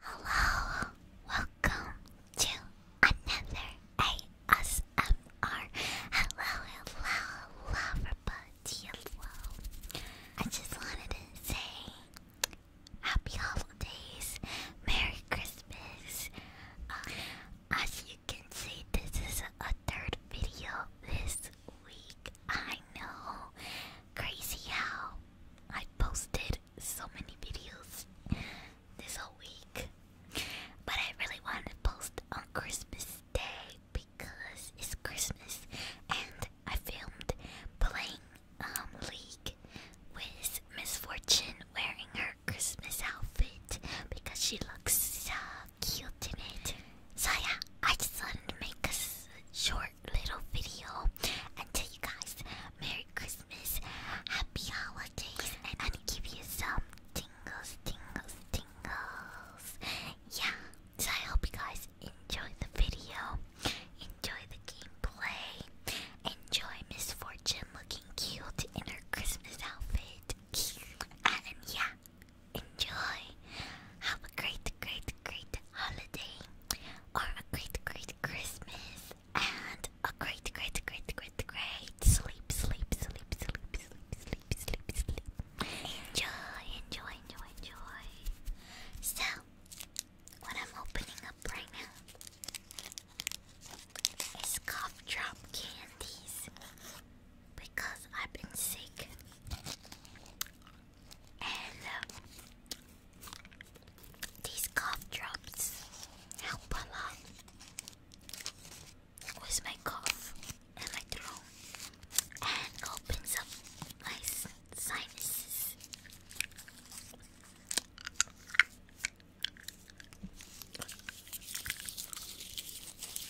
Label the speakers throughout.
Speaker 1: Hello, welcome to another ASMR. Hello, hello, everybody. Hello. I just wanted to say happy holidays, Merry Christmas. as you can see, this is a third video this week. I know. Crazy how I posted so many videos this whole week. But I really wanted to post on Christmas Day because it's Christmas and I filmed playing um League with Misfortune wearing her Christmas outfit because she looks so cute in it. So yeah, I just wanted to make a short little video and tell you guys Merry Christmas, Happy Holidays, and, and give you some tingles, tingles, tingles. Yeah, so I hope you guys enjoy the video, enjoy the gameplay, enjoy Misfortune looking cute in her Christmas outfit. And yeah, Enjoy. Have a great, great, great holiday, or a great, great Christmas, and a great, great, great, great, great sleep, sleep, sleep, sleep, sleep, sleep, sleep, sleep. Enjoy, enjoy, enjoy, enjoy. So, what I'm opening up right now is cough drop candies because I've been sick and um, these cough drops help a lot with my cough and my throat and opens up my sinuses.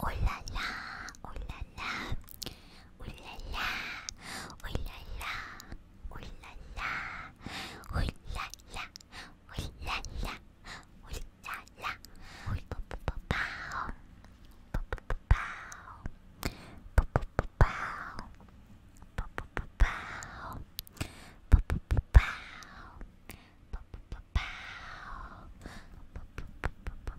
Speaker 1: Oh la la, oh la la, oh la la, oh la la, oh la la, oh la la, oh la la, oh la la, oh pa pa pa pow, pa pa pa pow, pa pa pa pow, pa pa pa pow, pa pa pa pow, pa pa pa pow, pa pa pa pow.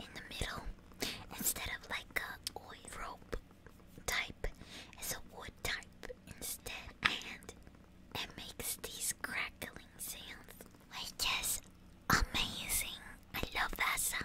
Speaker 1: in the middle instead of like a rope type. It's a wood type instead, and it makes these crackling sounds, which is amazing. I love that sound.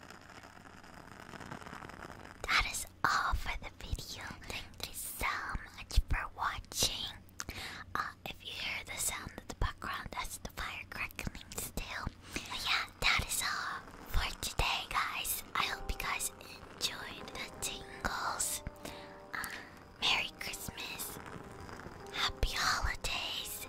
Speaker 1: That is all for the video. Thank so much for watching. Uh, if you hear the sound in the background, that's the fire crackling still. yeah, that is all for today, guys. I hope you guys enjoyed the tingles. Uh, Merry Christmas. Happy holidays.